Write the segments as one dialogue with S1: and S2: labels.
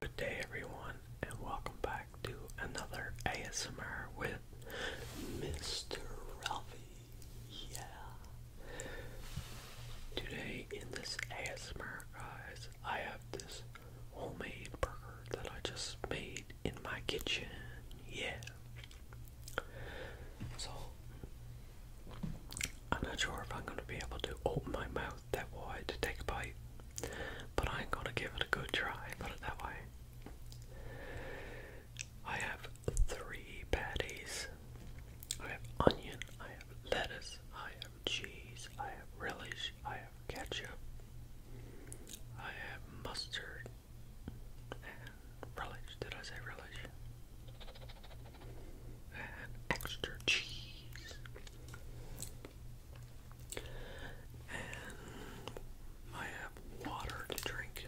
S1: Good day, everyone, and welcome back to another ASMR with Mr. Ralphie. Yeah. Today, in this ASMR, guys, I have this homemade burger that I just made in my kitchen. Yeah. So, I'm not sure if I'm going to be able to open my mouth that wide to take a bite, but I'm going to give it a good try, put it that way. I have three patties. I have onion, I have lettuce, I have cheese, I have relish, I have ketchup, I have mustard, relish. Did I say relish? extra cheese and I have water to drink.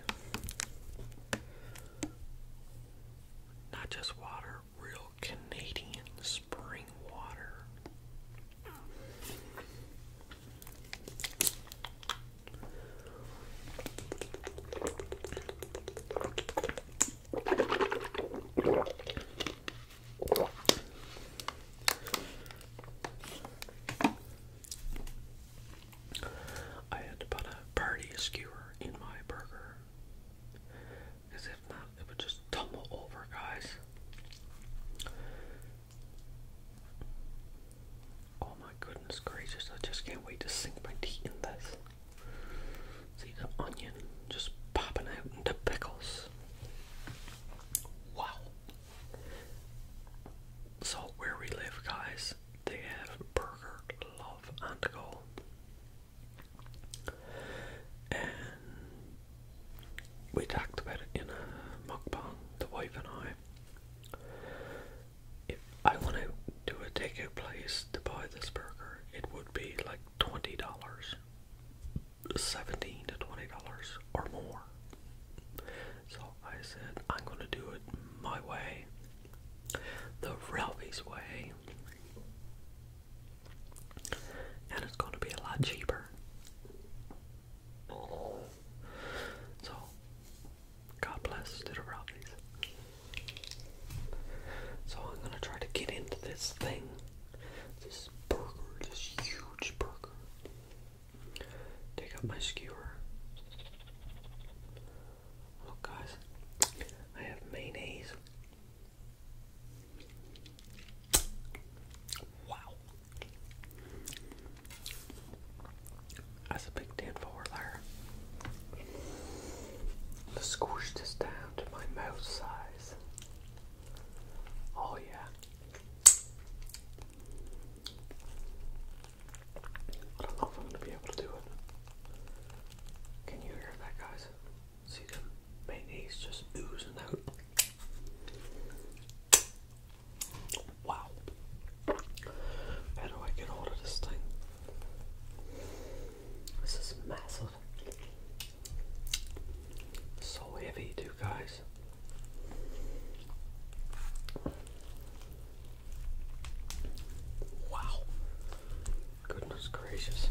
S1: Not just water, real Canadian spring water. I had to put a party skewer in my burger. Because if not, it would just tumble over, guys. Oh my goodness gracious, I just can't wait to sink my teeth in this. See the onion just popping out into pickles. Wow. So where we live, guys, they have Burger Love on go. And we talked about it in a mukbang, the wife and I. If I want to do a takeout place to buy this burger, it would be like like twenty dollars, seventeen to twenty dollars or more. So I said, I'm gonna do it my way, the Ralphie's way, and it's gonna be a lot cheaper. So, God bless to the Ralphies. So I'm gonna try to get into this thing. This burger, this huge burger. Take out my skewer. Look, guys, I have mayonnaise. Wow. That's a big Dan there. Let's squish this down to my mouth size. Oh, yeah. I don't know if I'm going to be able to do it. Can you hear that, guys? See the mayonnaise just oozing out. Wow. How do I get hold of this thing? This is massive. So heavy, too, guys. Wow. Goodness gracious.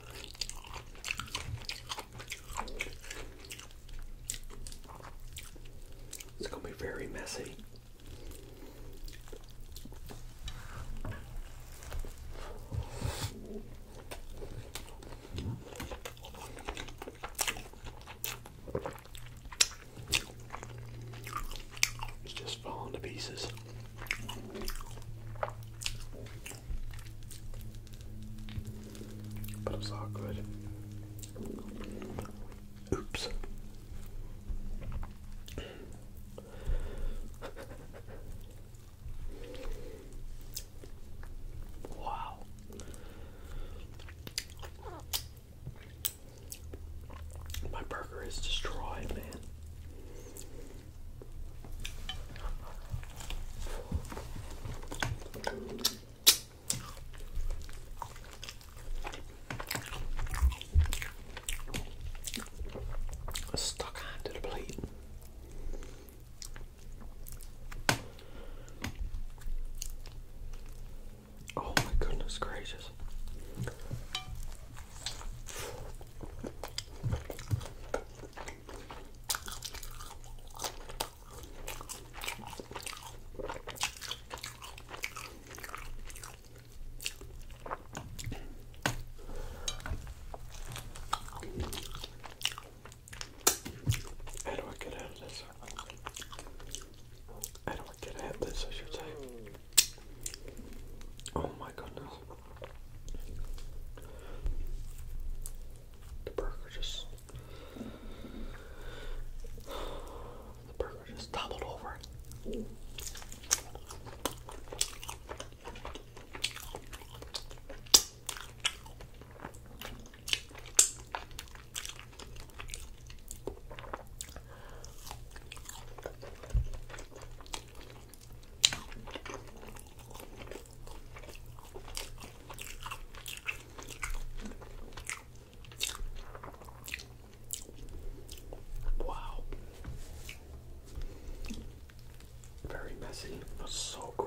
S1: It's going to be very messy. It's just falling to pieces. But it's all good. Oops. wow. My burger is destroyed, man. Stuck onto the plate. Oh my goodness gracious. How do I get out of this? How do I get out of this, I should say? Oh my goodness. The burger just the burger just toppled over. Wow. Very messy, so good.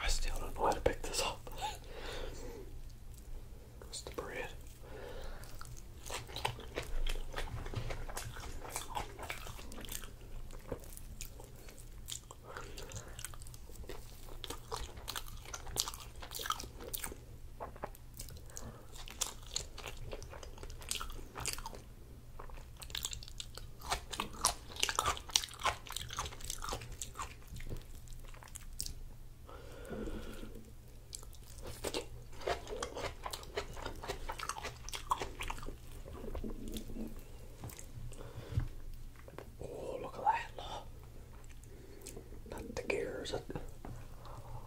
S1: I still don't know how to pick this up. It's bread. Oh, look at that! Not the gears.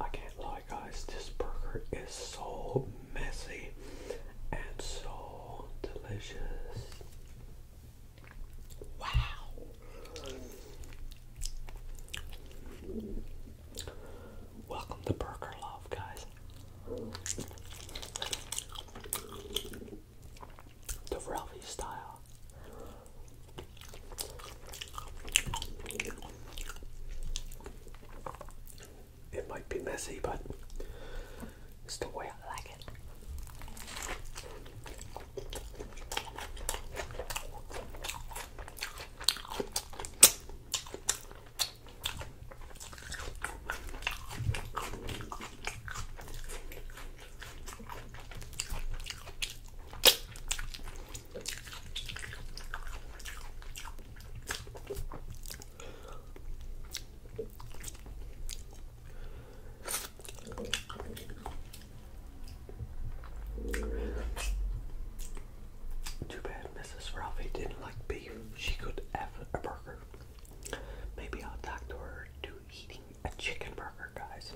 S1: I can't lie, guys, this burger is so messy and so delicious. Wow. Welcome to Burger Love, guys the Ralphie style. It might be messy, but it's the way I like it. Too bad Mrs. Ralphie didn't like beef. She could have a burger. Maybe I'll talk to her to eating a chicken burger, guys.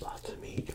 S1: Lots of meat.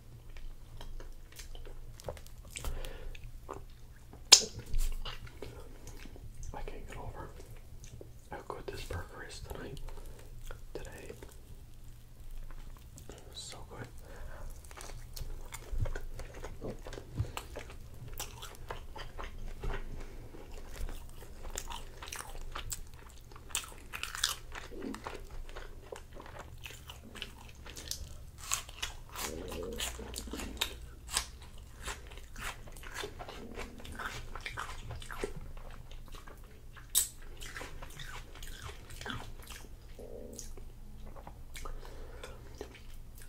S1: I can't get over how good this burger is tonight. Today. So good.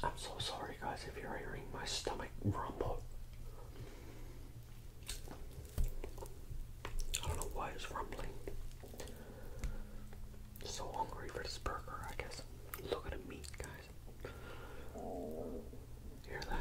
S1: I'm so sorry, guys, if you're hearing my stomach rumble. I don't know why it's rumbling. So hungry for this burger, I guess. Look at the meat, guys. Hear that?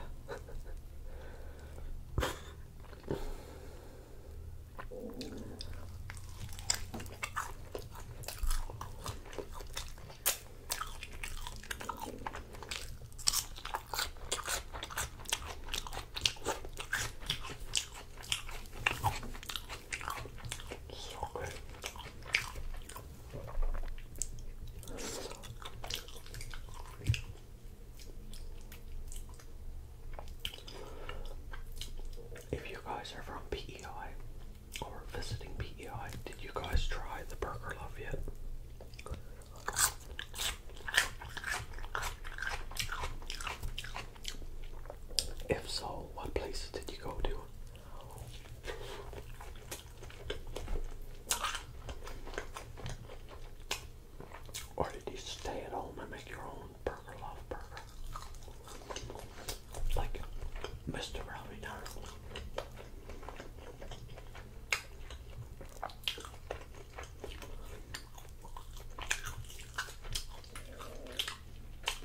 S1: If you guys are from PEI or visiting PEI, did you guys try the Burger Love yet? If so, what places did you go to? Or did you stay at home and make your own burger love burger? Like Mr. Ravinar.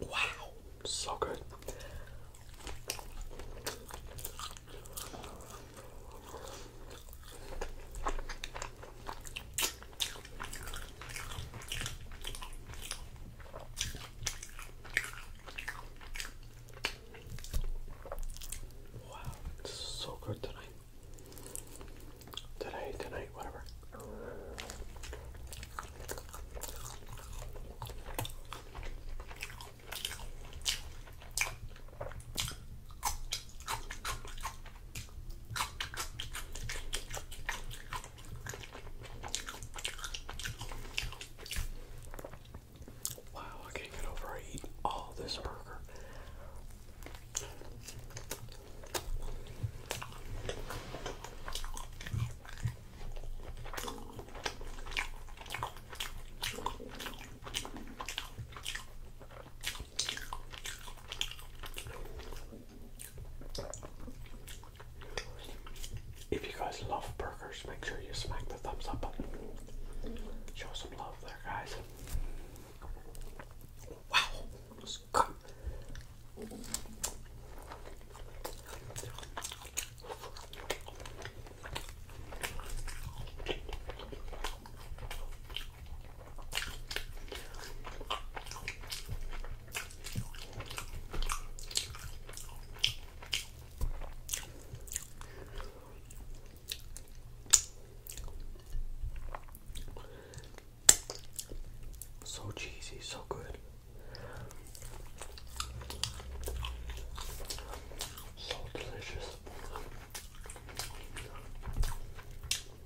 S1: Wow, so good. Wow, it's so good tonight. Today, tonight, whatever. Wow, I can't get over I eat all this burger. If you guys love burgers, make sure you smack the thumbs up button. Show some love there, guys. Wow, so cheesy, so good. So delicious.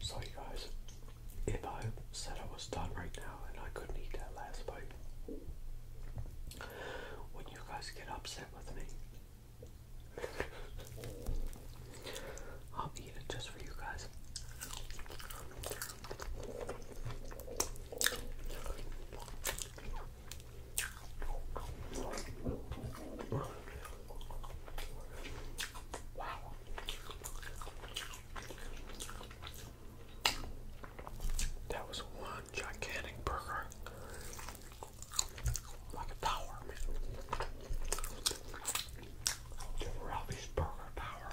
S1: Sorry, guys, if I said I was done right now and I couldn't eat that last bite, when you guys get upset with me? I'll eat it just for you guys. Wow. That was one gigantic burger. Like a man. The Ralphie's Burger Tower.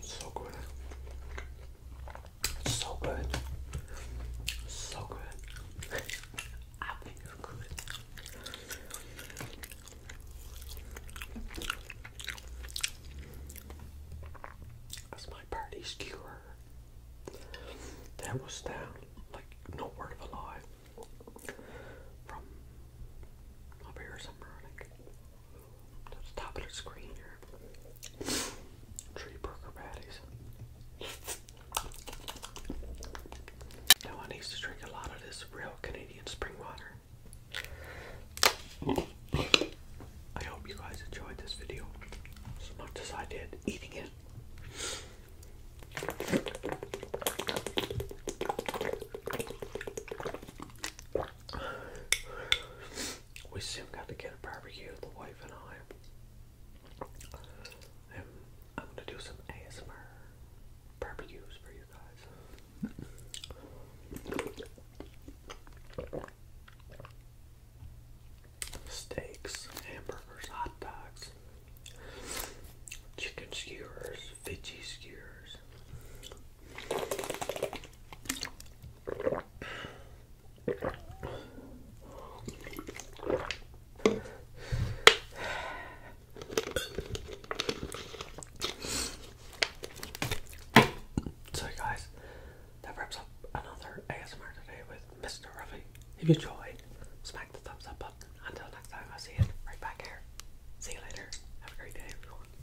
S1: So good. So good. So good. I think you good. That's my party skewer. That was down, like no word of a lie. From up here somewhere, I to the top of the screen here. Tree burger patties. Now I need to drink a lot of this real Canadian spring water. I hope you guys enjoyed this video as much as I did eating it. We soon got to get a barbecue, the wife and I. And I'm gonna do some ASMR barbecues for you guys. Steaks, hamburgers, hot dogs, chicken skewers, veggie skewers, So, guys, that wraps up another ASMR today with Mr. Ruffy. If you enjoyed, smack the thumbs up button. Until next time, i see you right back here. See you later. Have a great day, everyone.